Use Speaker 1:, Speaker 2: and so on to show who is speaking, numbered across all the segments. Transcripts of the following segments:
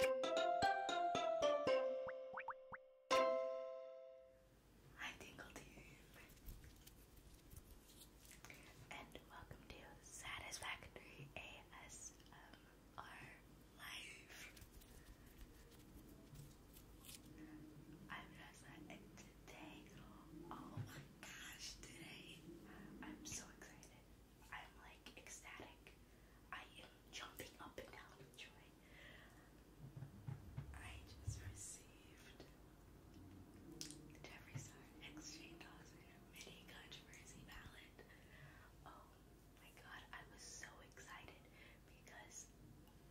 Speaker 1: Hi Tingle and welcome to Satisfactory ASMR Life. I'm Rasa and today, oh my gosh, today I'm so excited. I'm like ecstatic. I am jumping up and down with joy. I just received the Jeffree Star Exchange Mini Controversy Ballot. Oh my god, I was so excited because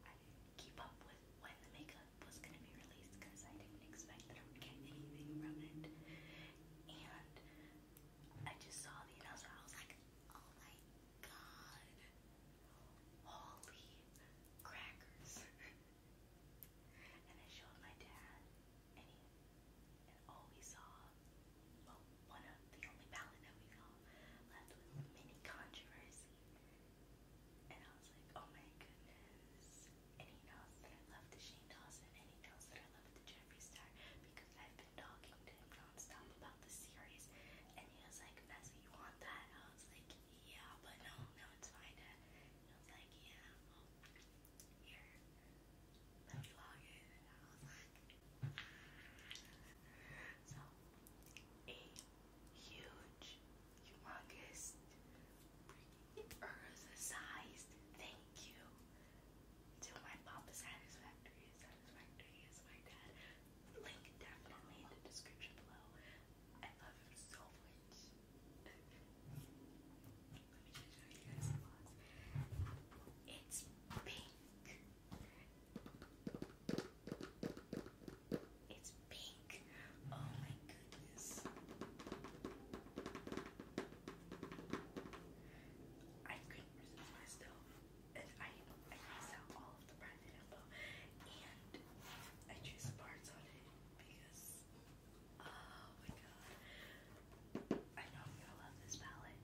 Speaker 1: I keep up with when the makeup was going to be released because I didn't expect that I would get anything from And I just saw the announcement. I was like, oh my god. Holy crackers. and I showed my dad, and he, and we saw, well, of the only palette that we saw left with mini controversy. And I was like, oh my goodness. And he that I love the Shane Dawson, and he that I love the Jeffree Star because I've talking to him nonstop about the series, and he was like, Messi, you want that? I was like, yeah, but no, no, it's fine, Dad. was like, yeah, well, here, let me log so, a huge, humongous, Earth-sized thank you to my Papa Factories. Adam's is my dad. Link definitely in the description below. I love him so much. Let me just show you guys the box. It's pink. It's pink. Oh my goodness. I couldn't resist myself and I I miss out all of the private info and I choose parts on it because oh my god. I know I'm gonna love this palette.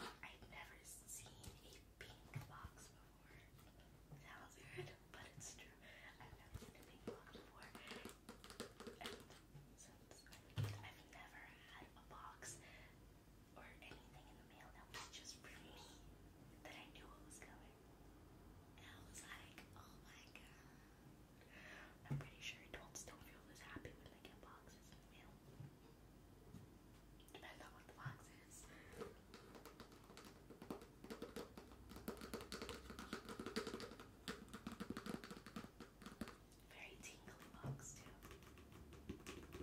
Speaker 1: I've never seen pink box before. Sounds weird, but it's true. I've never been a pink box before. And I've never had a box or anything in the mail that was just for me that I knew what was coming. And I was like, oh my god. I'm pretty sure adults don't feel this happy when they get boxes in the mail. Depends on what the box is. Very tingly box too. All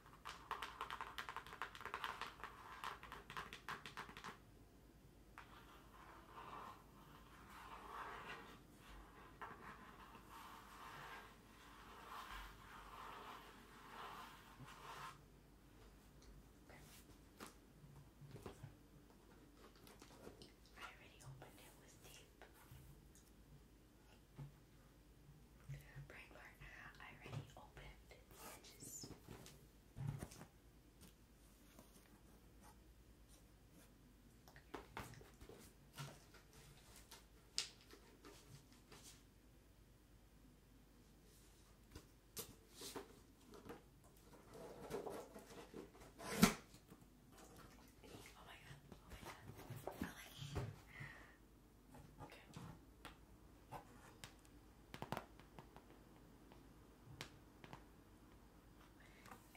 Speaker 1: I already opened it with tape. Brain part, I already opened the edges. Oh my god, oh my god. Okay.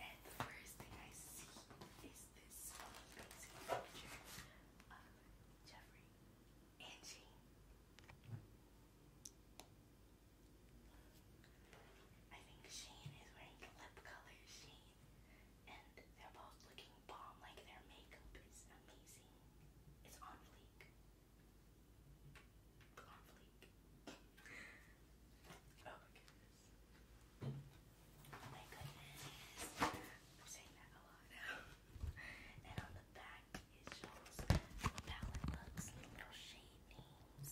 Speaker 1: And the first thing I see is this amazing picture of Jeffrey and Jane. I think Shane is wearing lip color Shane, and they're both looking bomb. Like their makeup is amazing. It's on fleek. oh my goodness. Oh my goodness. I'm saying that a lot now. and on the back it shows palette looks, the shade names.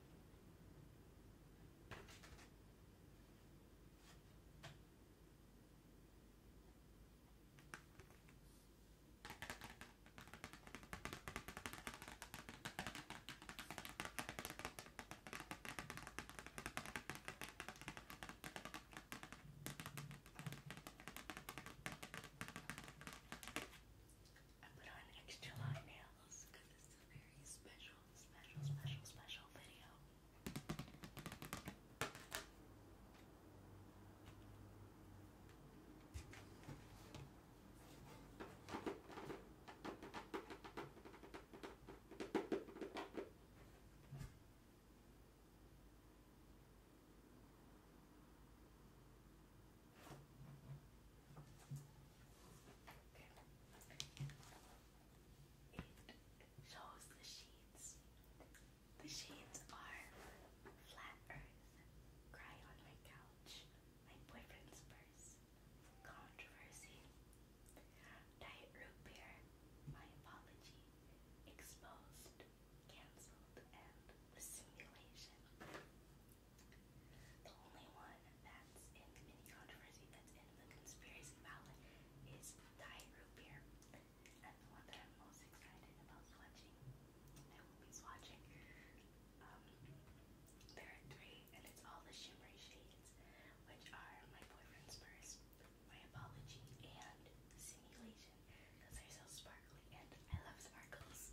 Speaker 1: I put on extra long nails a very special, special, special, special video. It shows the sheets. The sheets are Flat Earth, Cry on My Couch, My Boyfriend's Purse, Controversy, Diet Root Beer, My Apology, Exposed, Cancelled, and The Simulation. The only one that's in any controversy that's in the conspiracy ballot is Thai root And the one that I'm most excited about swatching, I will be swatching. Um, there are three, and it's all the shimmery shades, which are my boyfriend's first, my apology, and simulation, because they're so sparkly, and I love sparkles.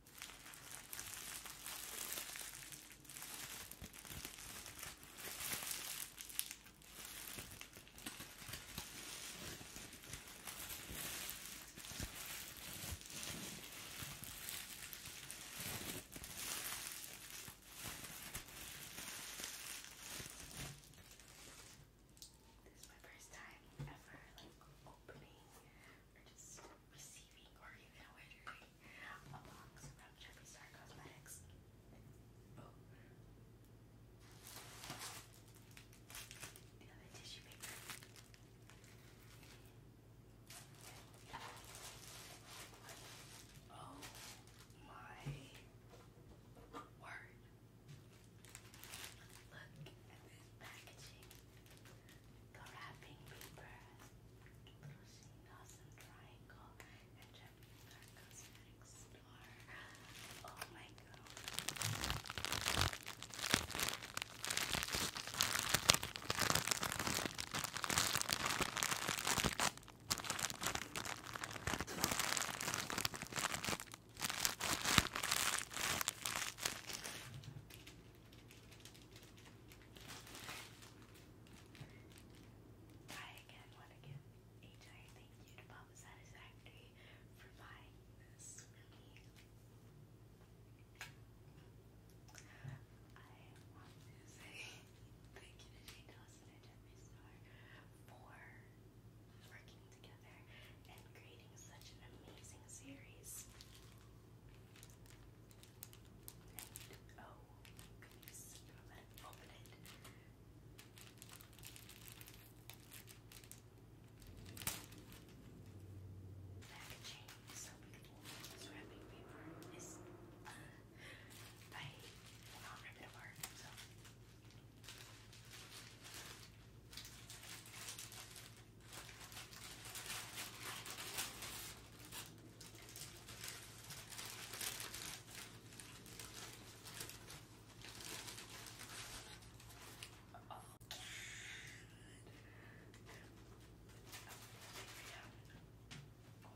Speaker 1: This is my first time ever like opening or just receiving or even ordering a box from Jeffree Star Cosmetics. Oh. The other oh word. Look at this packaging the wrapping paper has Lucy Triangle and Jeffree Star Cosmetics Store. Oh my god. Try again, one again. HI, thank you to Papa Satisfactory for buying this for me. I want to say thank you to Jane Dawson and Jeffree Star for working together and creating such an amazing series. Right. Oh, can you stop it? Open it. Packaging so beautiful. This wrapping paper is. Uh, I will not rip it apart. So. Okay. Oh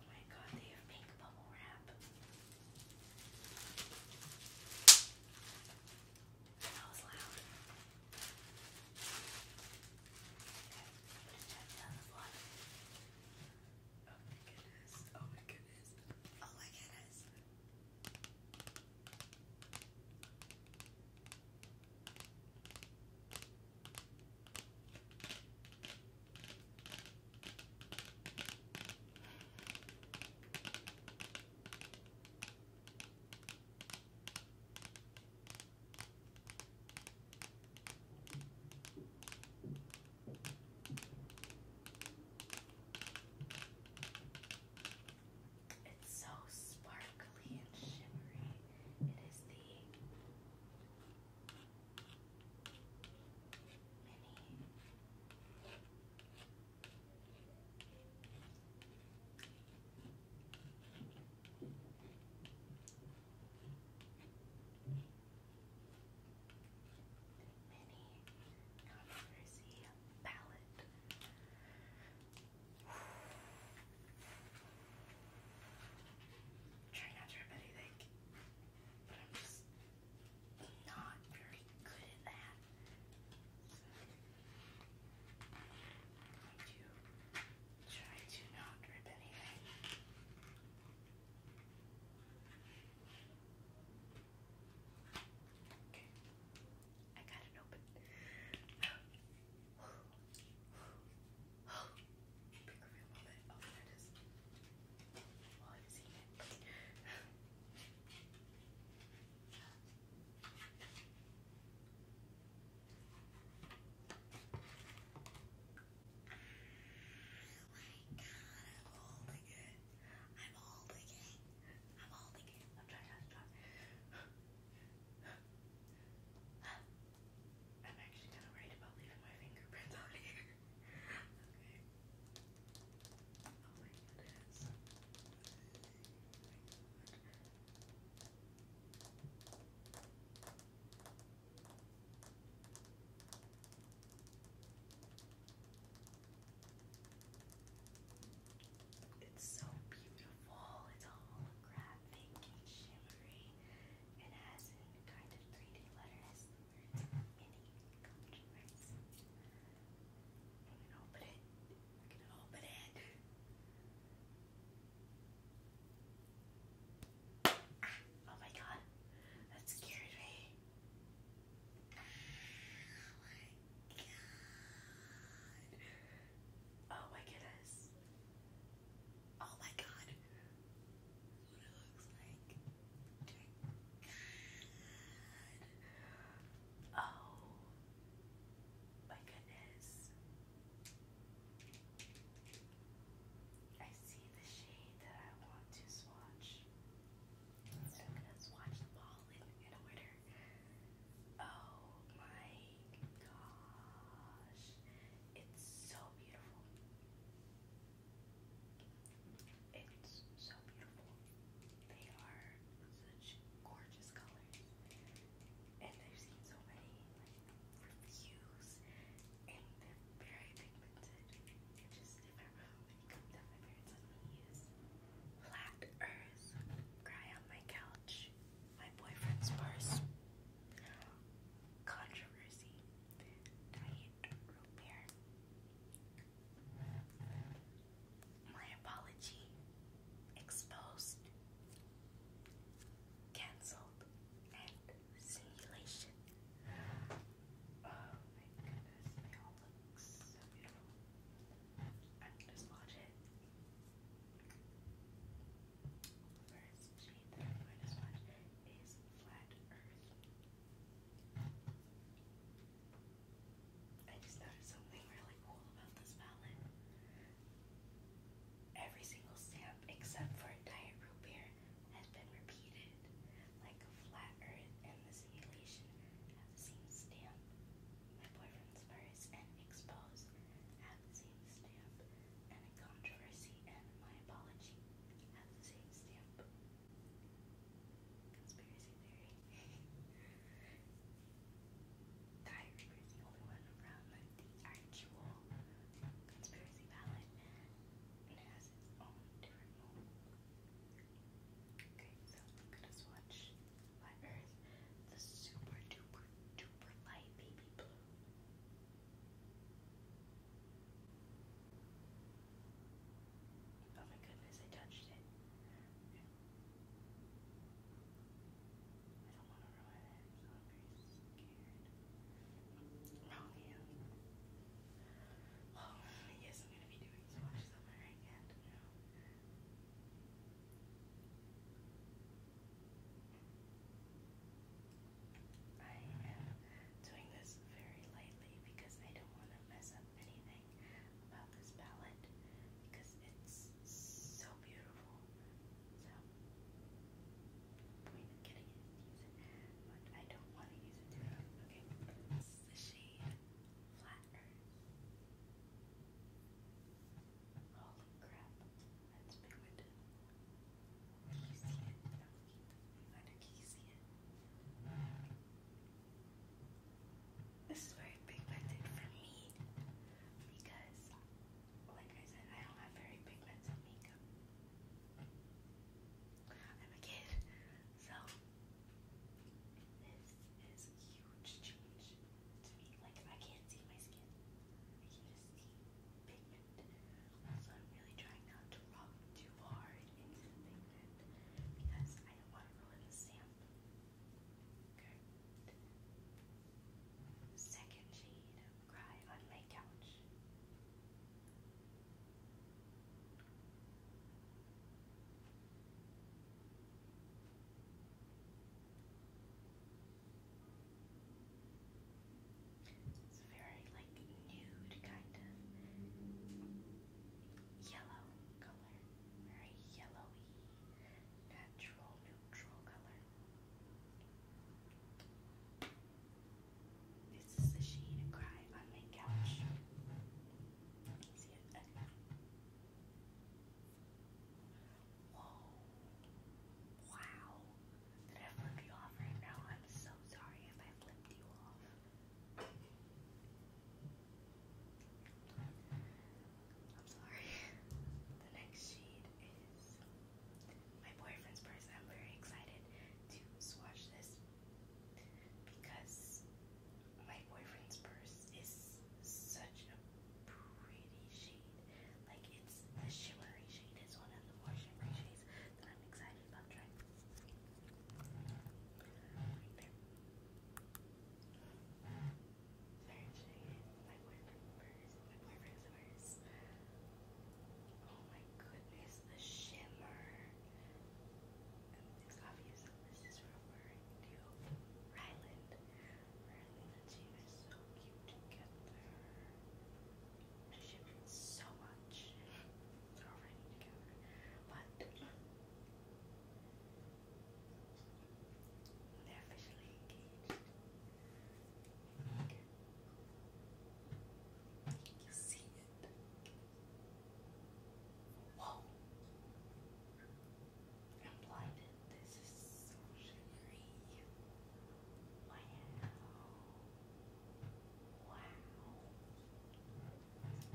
Speaker 1: my god, they have pink bubble wrap. That was loud. Oh my goodness. Oh my goodness. Oh my goodness. It's so sparkly and shimmery. It is the mini. Mini controversy palette. Try not to rip anything, but I'm just not very good at that. So, i try to not drip anything. Okay. I got it open. Big reveal moment. Oh, there it is. Well, I've seen it my god, I'm holding it. I'm holding it. I'm holding it. I'm trying to drop I'm actually kind of worried about leaving my fingerprints on here. okay. Oh my goodness. It's so beautiful. It's holographic and shimmery. It has kind of 3D letters, the words open it. open it. Oh my god, that scared me. Oh my god. Oh my goodness. Oh my god. what it looks like. Oh my goodness. I see the shade that I want to swatch. So I'm swatch them all in, in order. Oh my gosh. It's so beautiful. It's so beautiful. They are such gorgeous colors and I've seen so many like reviews, and they're very pigmented. It's just in my room, and come down my parents let me use flat earth, cry on my couch, my boyfriend's purse. Controversy. Diet root beer. My apology. Exposed. Cancel and simulation. Oh my goodness, they all look so beautiful. I'm going it. First shade I'm going is Flat Earth. I just noticed something really cool about this palette. Every single stamp except for diet root beer has been repeated, like a flat earth and the simulation have the same stamp. My boyfriend's verse and expose have the same stamp, and a controversy and my apology have the same stamp. Conspiracy theory. Diary is the only one around the actual conspiracy palette, and it has its own different mood. Okay, so i Earth the super duper duper light baby blue. Oh my goodness, I touched it. Wrong hand. Well, yes, I'm gonna be doing so much on my right hand now. I am doing this very lightly because I don't want to mess up anything about this palette because it's so beautiful. So, point of getting it is to use it, but I don't want to use it Okay, this is the shade Flat Earth. Holy crap, that's pigmented. Can you see it? I don't can you see it? This is very pigmented for me because like I said, I don't have very pigments on makeup. I'm a kid, so this is a huge change to me. Like I can't see my skin. I can just see pigment. So I'm really trying not to rub too hard into the pigment because I don't want to ruin the sample. Okay. Second shade cry on my couch. It's very like nude kind of yellow color, very yellowy, natural neutral color. This is the shade of cry on my couch. Whoa. Wow. Did I flip you off right now? I'm so sorry if I flipped you off. I'm sorry. The next shade is my boyfriend's purse. I'm very excited to swatch this because my boyfriend's purse is such a pretty shade. Like it's a shimmery shade. It's one of the more shimmery shades that I'm excited about trying. My boyfriend's Oh my goodness, the shimmer. this is referring to Ryland. and she were so cute together. She shimmered so much. they're officially engaged. You see it? Whoa! I'm blinded. This is so shimmery. Wow!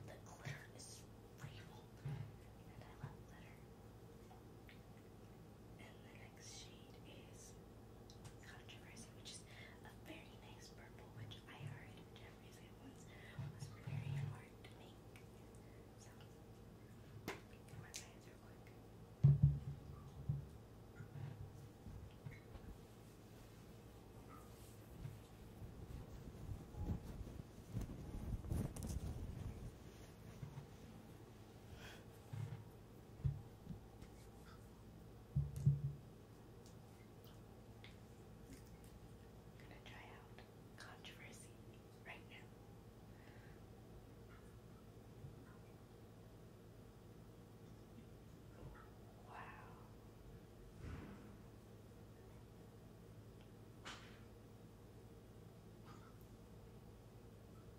Speaker 1: The glitter is real, and I love glitter. And then next shade is Controversy, which is a very nice purple, which I heard Jeffrey's once was very hard to make. So, come on, guys, quick. I'm gonna try out controversy right now. Wow.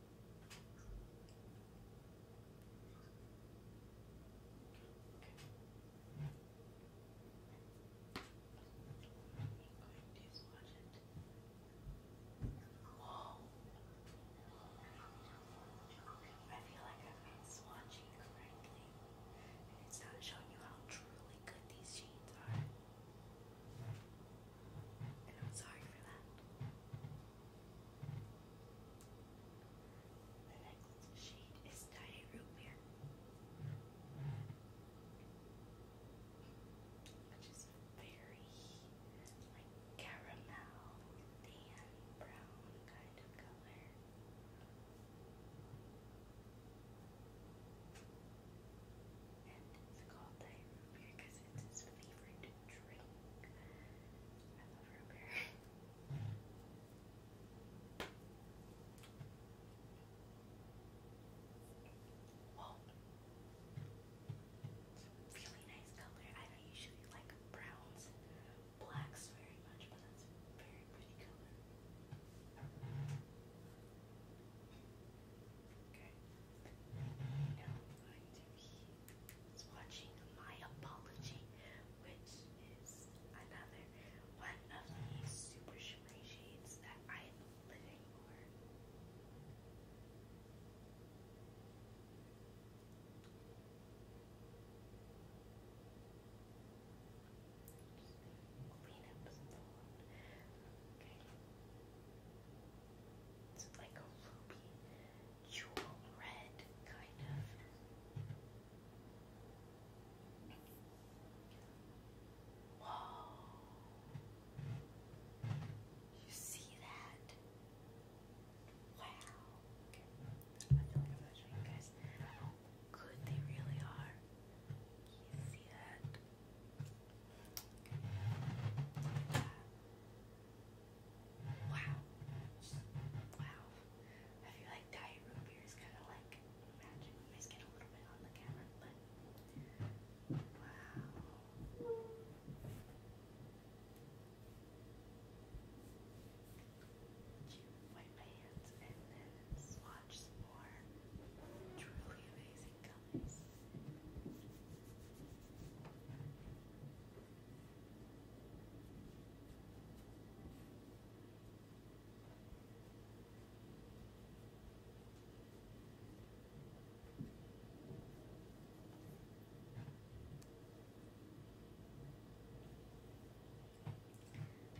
Speaker 1: Whoa. I feel like I've been correctly. And it's not showing you how truly good these shades are. And I'm sorry for that. The next shade is Diet Root Beer, which is very like caramel, tan brown kind of color. And it's called Diet Root Beer because it's his favorite drink. I really nice color. I don't usually like browns blacks very much, but that's a very pretty color. Okay. Now he is watching My Apology, which is another one of the super shimmery that I am living for. Clean up some Okay. It's like a ruby jewel red, kind of. Whoa! You see that? Wow! I feel like I'm you guys how good they really are. You see that. Wow. Wow. I feel like diet root is kind of like magic. You guys get a little bit on the camera, but wow. Wipe my hands and then swatch some more truly amazing colors.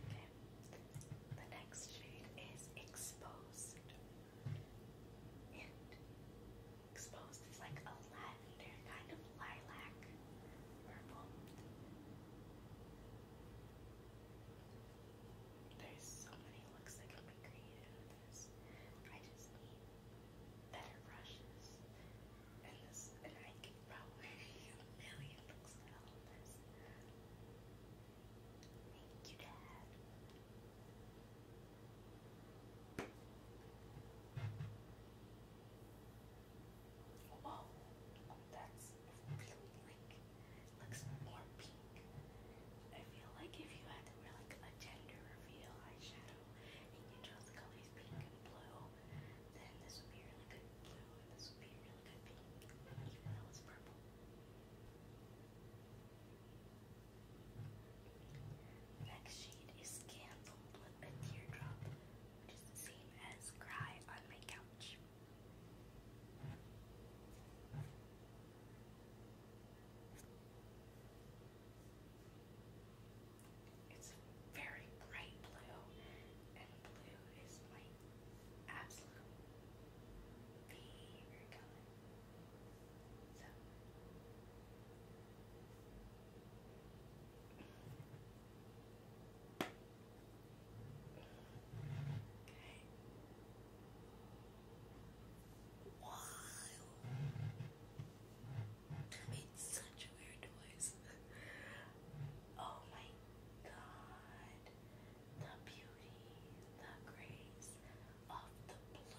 Speaker 1: Okay. The next shade is exposed exposed. is like a lavender kind of lilac purple. There's so many looks that can be created with this. I just need better brushes. And this and I can probably a million looks out this. Thank you, Dad. Whoa, that's blue like looks more pink. I feel like if you had to wear like a gender reveal eyeshadow and you chose colors pink and blue, then this would be really good blue and this would be really good pink, even though it's purple. Next shade is Scandal Blue a teardrop, which is the same as cry on my couch. It's very bright blue, and blue is my absolute favorite color. Okay. Wow. That made such a weird noise. oh my god. The beauty, the grace of the blue.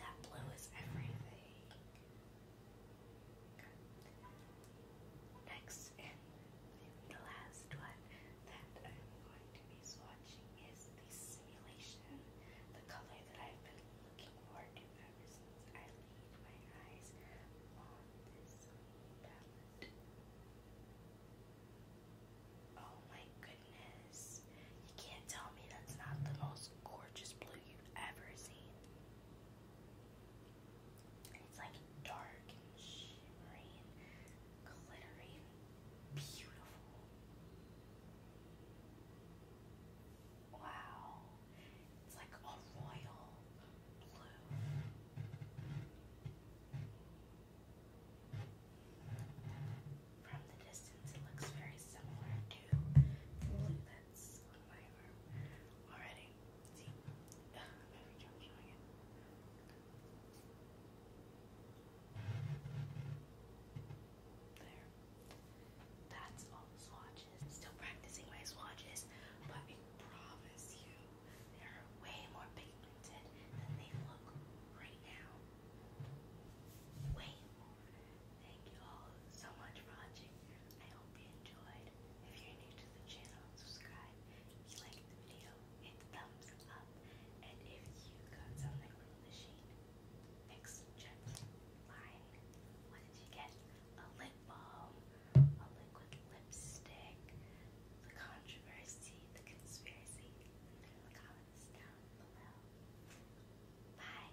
Speaker 1: That blue is everything. Next and the last one that I'm going to be swatching is the simulation, the color that I've been looking forward to ever since I laid my eyes on this palette. Oh my goodness. You can't tell me that's not the most gorgeous blue you've ever seen. it's like dark and glittery beautiful. Wow. It's like a blue. From the distance, it looks very similar to blue already. See? Every time I'm showing it. There. That's all the swatches. Still practicing my swatches, but I promise you, they're way more pigmented than they look right now. Way Thank you all so much for watching. I hope you enjoyed. If you're new to the channel, subscribe. If you like the video, hit thumbs up. And if you got something from the shade, fix check line. What did you get? A lip balm, a liquid lipstick, the controversy, the conspiracy. Leave it comments down below. Bye.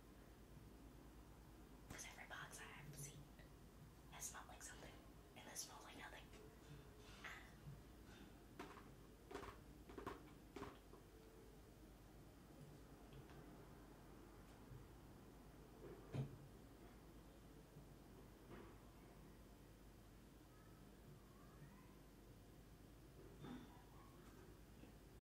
Speaker 1: Because every box I have seen has smelled like something, and this smells like nothing.